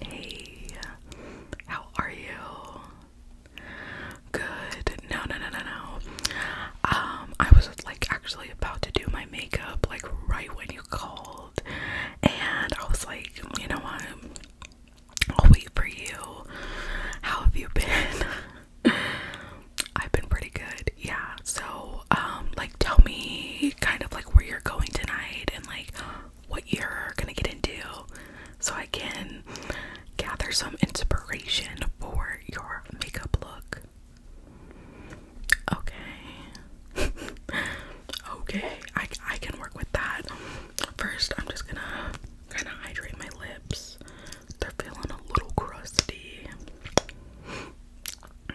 Hey, how are you? Good. No, no, no, no, no. Um, I was like actually about to do my makeup like right when you called, and I was like, you know what? I'll wait for you. How have you been? I've been pretty good. Yeah. So, um, like, tell me kind of like where you're going tonight and like what you're gonna get into so I can gather some inspiration for your makeup look. Okay. okay, I, I can work with that. First, I'm just gonna kind of hydrate my lips. They're feeling a little crusty.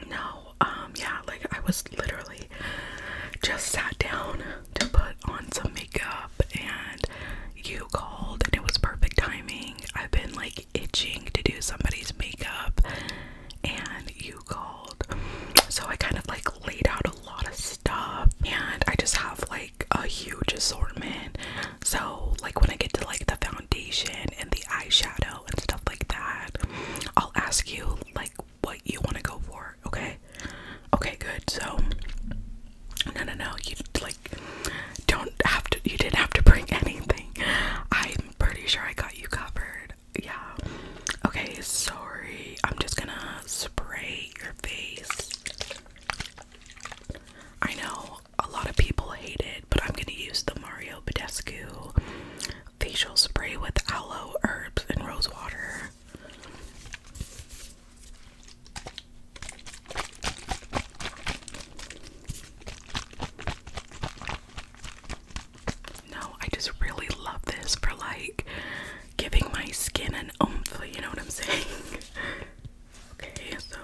No, um, yeah, like I was literally just sat down to put on some makeup and you called and it was perfect timing. I've been like itching to do somebody's makeup and you called. So I kind of like laid out a lot of stuff and I just have like a huge assortment. So like when I get to like the foundation and the eyeshadow and stuff like that, I'll ask you like what you want to go for, okay? Okay, good. So, no, no, no. You like don't have to. You didn't have to bring anything. I'm pretty sure I got you covered. Yeah. Okay. Sorry. I'm just gonna spray your face. I know a lot of people hate it, but I'm gonna use the Mario Badescu facial spray with aloe, herbs, and rose water. No, I just really love this for like giving my skin an oomph, you know what I'm saying? okay, so.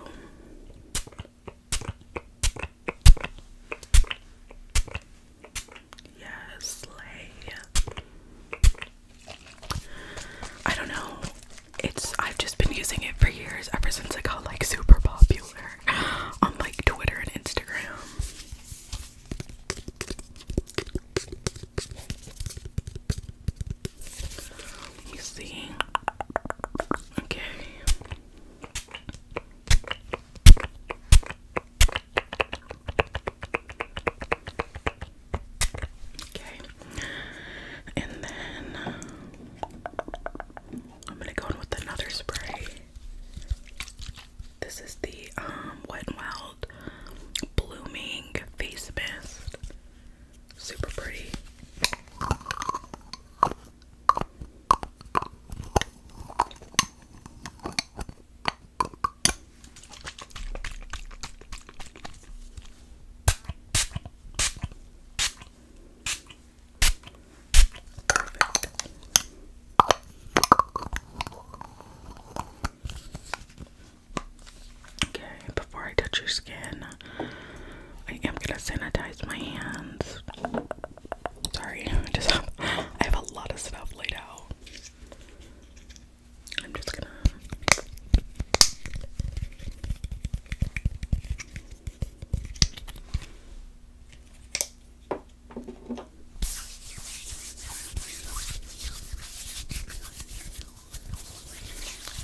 Yes, lay. I don't know. It's I've just been using it for years ever since I got like super popular on like Twitter and Instagram. Let see. Okay. Okay, and then uh, I'm gonna go in with another spray. This is the um, Wet n Wild Blooming Face Mist. Super pretty. Okay, before I touch your skin, I am gonna sanitize my hands. Sorry, I just I have a lot of stuff laid out. I'm just gonna.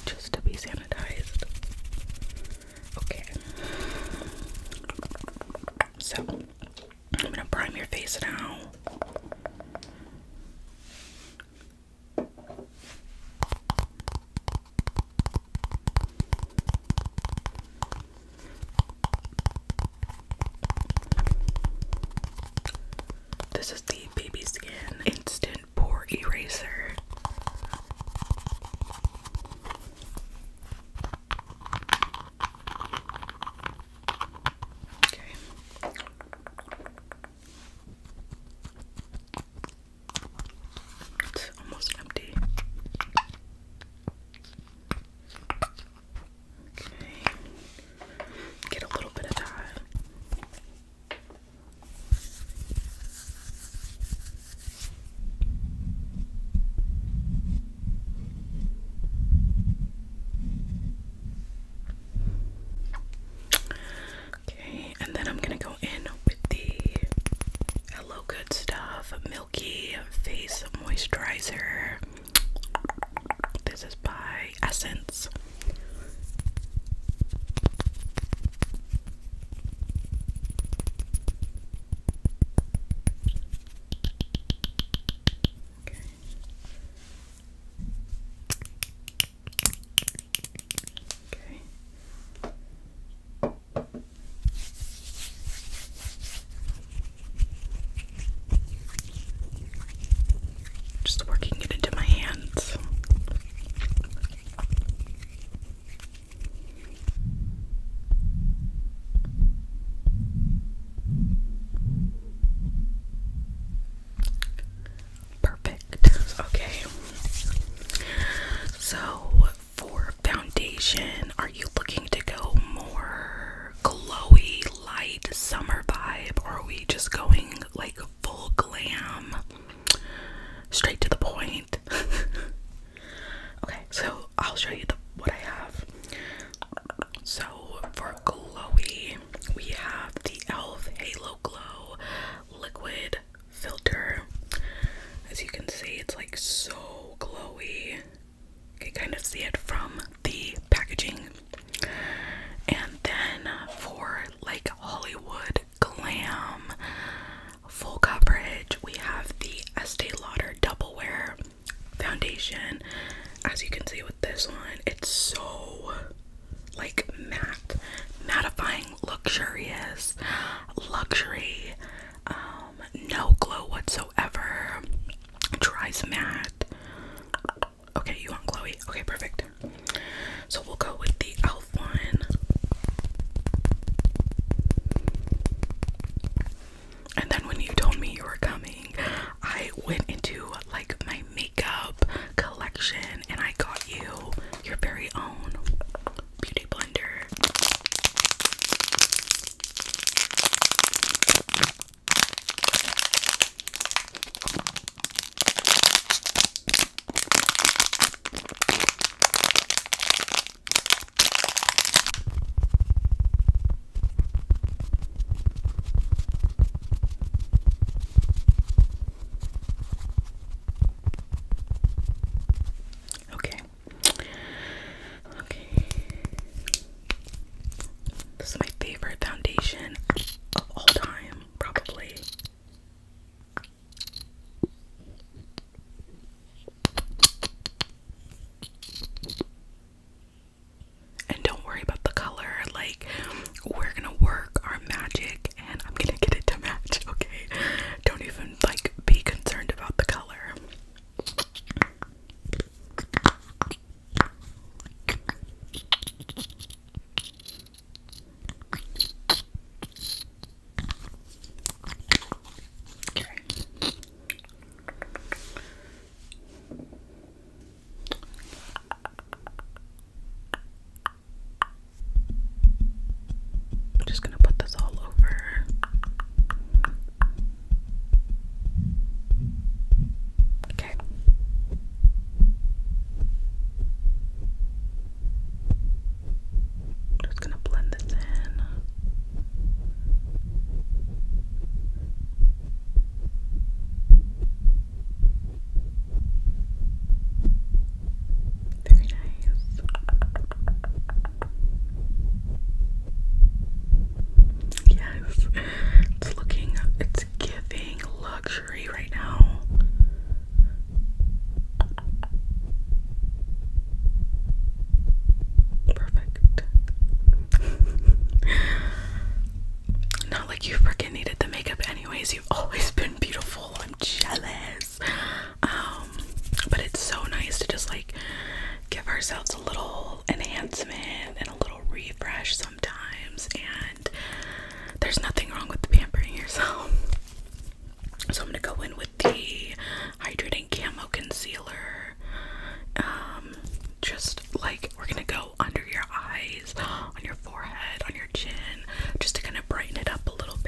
Just to be sanitized. Okay. So, I'm gonna prime your face now. This is the Baby Skin Instant Pore Eraser. Okay. It's almost empty. Okay. Get a little bit of that. Okay, and then I'm gonna go in with the Hello Good Stuff Milky Face Moisturizer. This is by Essence. Okay. Okay. Just working it into my hands. Perfect. Okay. So, for foundation, are you looking to go more glowy, light summer vibe, or are we just going like full glam, straight to the point? okay, so I'll show you the, what I have. So for glowy, we have the e.l.f. Halo Glow Liquid Filter. As you can see, it's like so glowy. You can kind of see it from the packaging. And then uh, for like Hollywood Glam full coverage, we have the Estee Lauder Double Wear foundation as you can see with this one it's so like matte mattifying luxurious luxury um, no glow whatsoever dries matte okay you want glowy okay perfect so we'll go with the elf one and then when you told me you were coming, I went into like my makeup collection and I got you your very own beauty blender. Okay. Okay. This is my favorite foundation of all time, probably. And don't worry about the color, like, we're gonna work our magic and I'm gonna get it to match, okay? Don't even like be concerned about the color. I'm just going to put this all over. Okay. Just gonna blend this in. Very nice. Yes, it's looking, it's giving luxury right now. Perfect. Not like you freaking needed the makeup, anyways. You've always been beautiful. I'm jealous. Um, but it's so nice to just like give ourselves a little enhancement and a little refresh sometimes. And there's nothing wrong with the pampering yourself. So I'm gonna go in with the hydrating camo concealer. Um, just like we're gonna go under your eyes, on your forehead, on your chin, just to kind of brighten it up a little bit.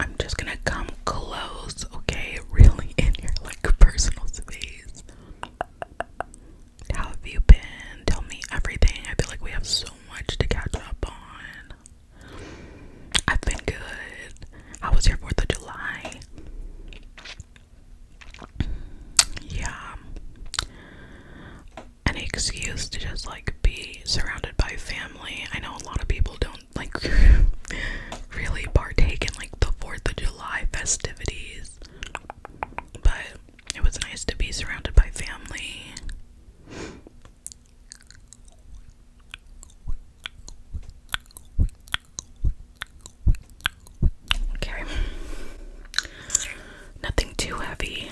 I'm just gonna come close, okay? Really in your like personal space. How have you been? Tell me everything. I feel like we have so much to catch up on. I've been good. How was your 4th of July? Yeah. Any excuse to just like be surrounded by family. I know a lot of people don't like really partake in like the 4th of July festivities. But it was nice to be surrounded by family. Okay. Nothing too heavy.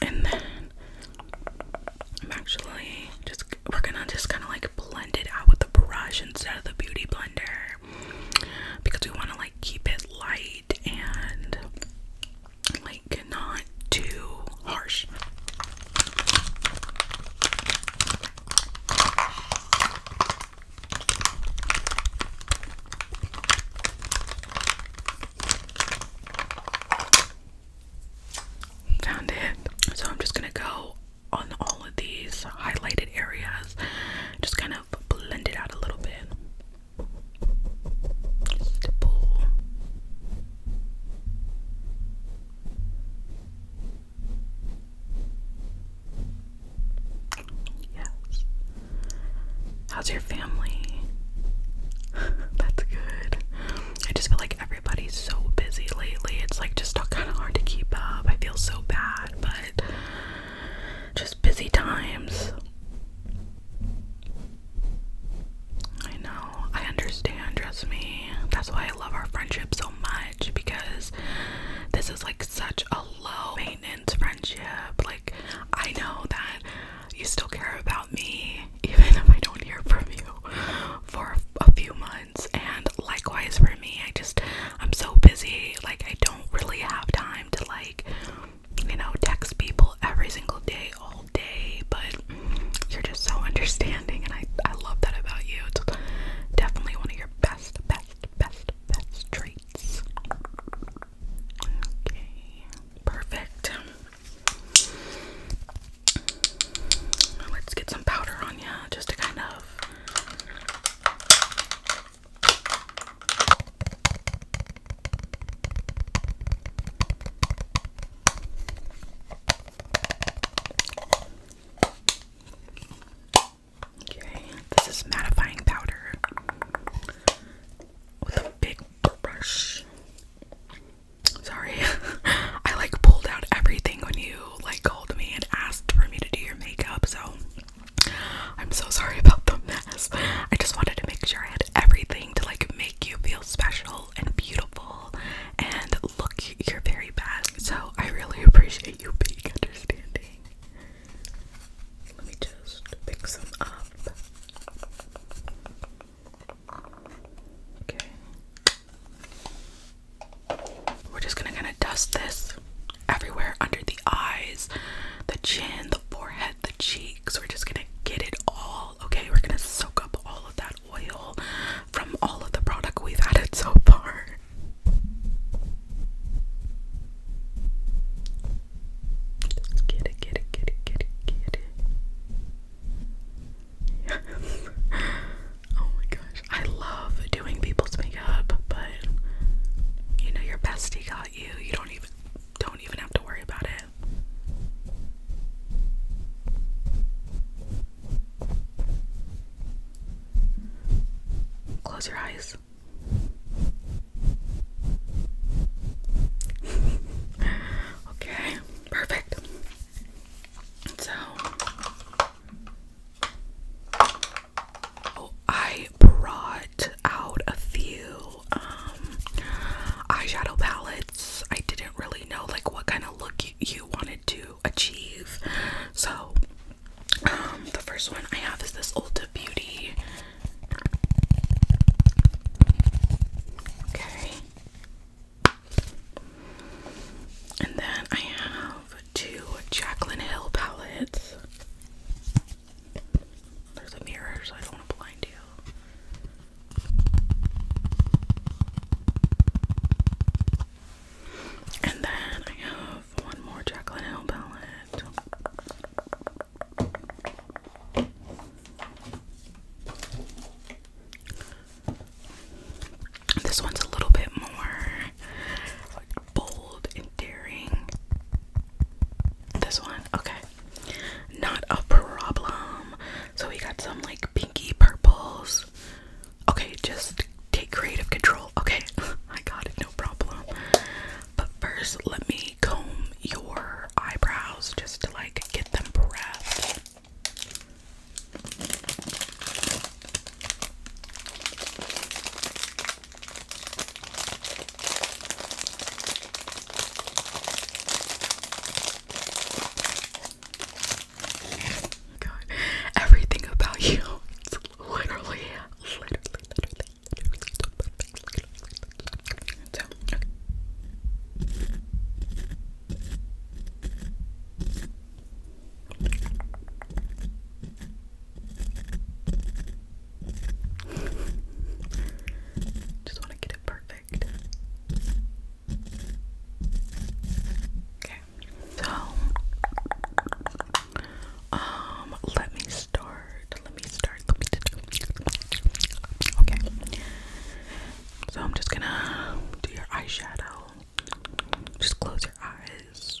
And then I'm actually just we're gonna just kind of like blend it out with the brush instead of the beauty blender because we want to like keep it light and like not too harsh. Found it. So I'm just gonna go on all of these highlighted areas, just kind of blend it out a little bit. Yes. How's your family? That's good. I just feel like everybody's so busy lately. It's like just kind of hard to keep up. I feel so bad, but just busy times. I know. I understand, trust me. That's why I love our friendship so much because this is like such a low maintenance friendship. Like, I know that you still care about me, even if I don't hear from you for a few months. And likewise for me, I just, I'm so busy. Like, I don't really have time to, like, you know, text people every single day, all day. But you're just so understanding, and I, I love that about you. It's definitely one of your best, best, best, best traits. Okay, perfect. Let's get some powder on you just to kind of. Okay, this is mattifying powder with a big brush. Sorry. I like pulled out everything when you like called me and asked for me to do your makeup, so I'm so sorry about the mess. I just wanted to make sure I had everything to like make you feel special and beautiful and look your very best. So I really appreciate you being understanding. Let me just pick some up. Okay. We're just gonna kind of dust this everywhere under the eyes, the chin, the forehead, the cheeks. We're just gonna get it all, okay? We're gonna soak up all of that oil from all of the product we've added so far. get it, get it, get it, get it, get it. oh my gosh. I love doing people's makeup, but you know your bestie got you. You don't even don't even have to worry about it. Close your eyes. okay. Perfect. So, oh, I brought out a few um, eyeshadow palettes. I didn't really know like what kind of look you, wanted to achieve. So, um, the first one I have is this Ulta Beauty. Okay. And then I have two Jacqueline Hill palettes. There's a mirror, so I don't blind you. And then I have one more Jaclyn Hill palette. This one's a little bit more bold and daring. This one, okay. Not a problem. So we got some like pinky purples. Okay, just take creative control. Okay, I got it, no problem. But first, let me comb your eyebrows just to like get them prepped. everything about you, literally, literally, literally, literally, literally, just want to get it perfect. Okay. So, um, let me start. Let me start. Let me. Okay. So I'm just gonna do your eyeshadow. Just close your eyes.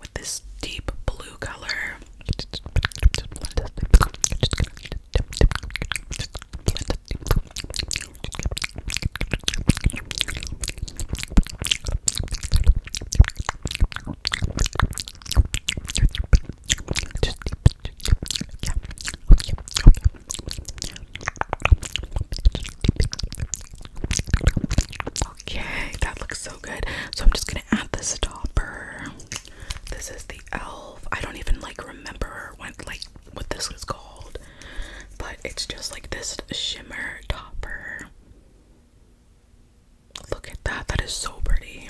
with this deep blue color. Okay. that looks so good. So I'm just gonna add the stopper. This is the elf. I don't even like remember what like what this was called, but it's just like this shimmer topper. Look at that. That is so pretty.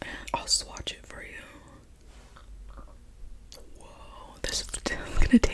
And I'll swatch it for you. Whoa, this is gonna take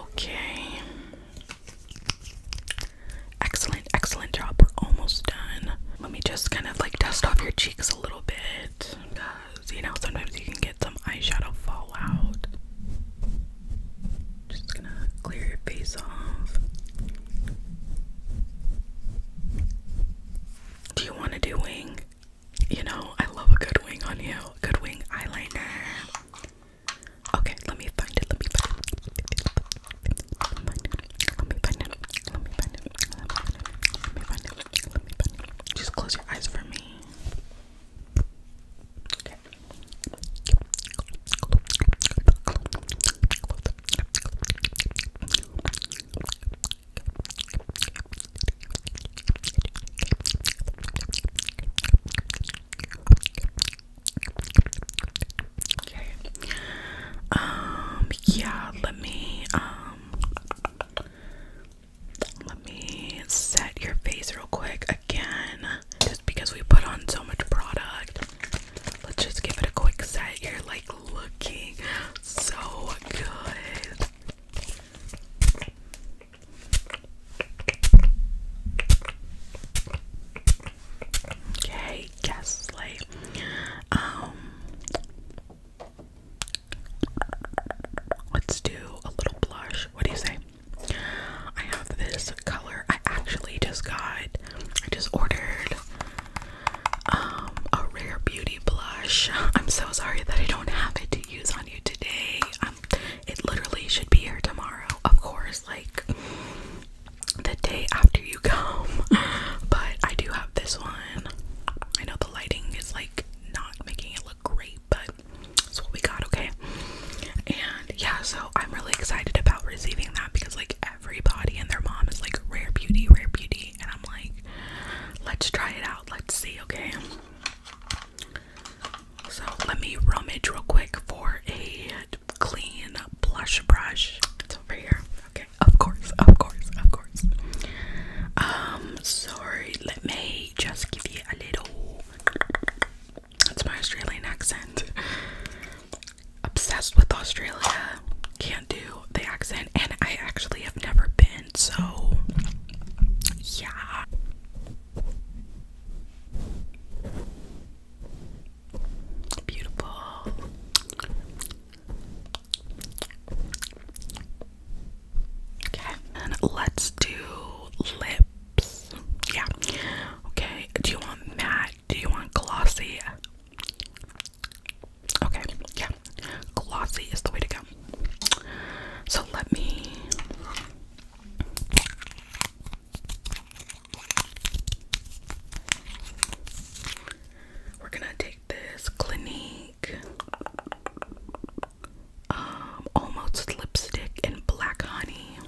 Okay. Excellent, excellent job. We're almost done. Let me just kind of like dust off your cheeks a little bit. Because, you know, sometimes you can get some eyeshadow fallout. Just gonna clear your face off. Do you want to do wing? You know, I love a good wing on you. Good wing eyeliner. Okay, let me find it. Let me find it. Let me find it. Let me find it. Let me find it. Let me find it. Let me find it. Just close your eyes for me. Um, yeah, let me um, let me set your face real quick again just because we put on so much product. Let's just give it a quick set. You're like looking so good. Okay, guess what? um let's do a little blush. What do you say? I have this color. I actually just got, I just ordered um, a Rare Beauty blush. I'm so sorry that I don't have it to use on you today. Um, it literally should be here tomorrow, of course, like the day after you come. But I do have this one. I know the lighting is like not making it look great, but that's what we got, okay? And yeah, so I'm really excited about receiving that because like everybody and their mom is like rare beauty, rare beauty, and I'm like, let's try it out, let's see, okay. So let me rummage real quick for a clean blush brush. It's over here. Okay, of course, of course, of course. Um, sorry, let me just give you a little that's my Australian accent. Obsessed with Australia. Can't do the accent, and I actually have never been, so yeah. Beautiful. Okay, and let's do lip yeah. Okay. Do you want matte? Do you want glossy? Okay. Yeah. Glossy is the way to go. So let me. We're gonna take this Clinique um, almost lipstick in black honey.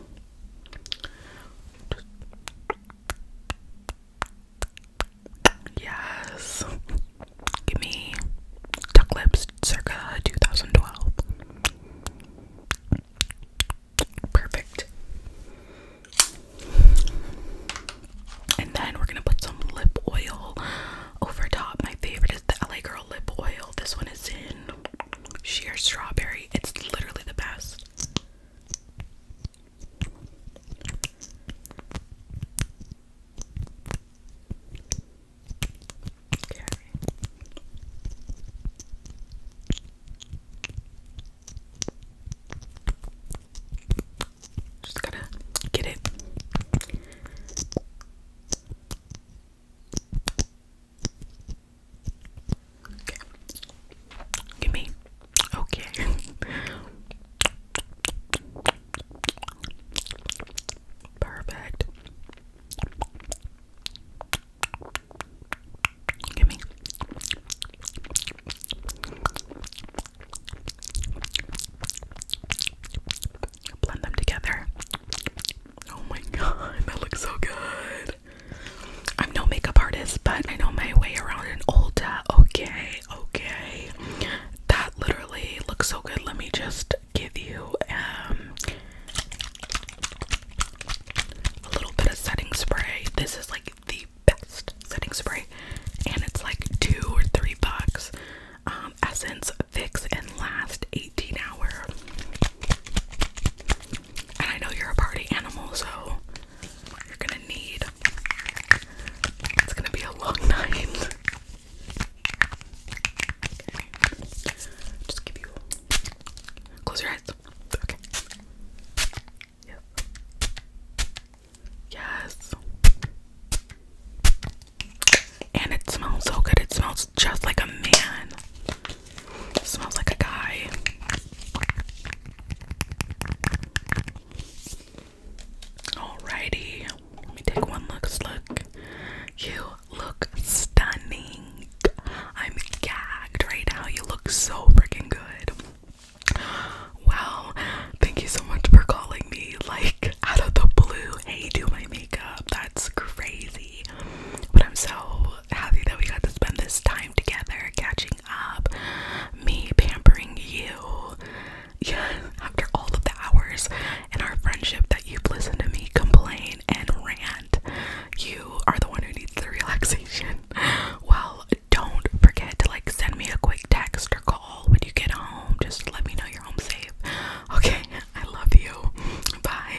Yes. Give me duck lips circa 2012. Perfect. And then we're gonna put some lip oil over top. My favorite is the LA Girl lip oil. This one is in sheer strawberry. It's literally the best. Just gotta get it. Okay. Give me. Okay. Perfect. Give me. Blend them together. Oh my god, that looks so good. I'm no makeup artist, but I know my way around an Ulta. Okay, okay. That literally looks so good. Let me just give you um a little bit of setting spray. This is like the best setting spray, and it's like two or three bucks. Um, Essence Fix and Last 18 Hour. And I know you're a party animal, so you're gonna need. It's gonna be a long night. Just give you. Close your eyes. Okay. Yes. Yes. And it smells so good. It smells just like a man. Smells like a guy. Alrighty. Let me take one look. Look. You look stunning. I'm gagged right now. You look so freaking good. Well, Thank you so much for calling me. Like out of the blue. Hey, do my makeup. That's crazy. But I'm so happy that we got to spend this time together, catching up, me pampering you. Yeah, after all of the hours in our friendship that you've listened to me complain and rant, you are the one who needs the relaxation. Well, don't forget to like send me a quick text or call when you get home. Just let me know you're home safe. Okay, I love you. Bye.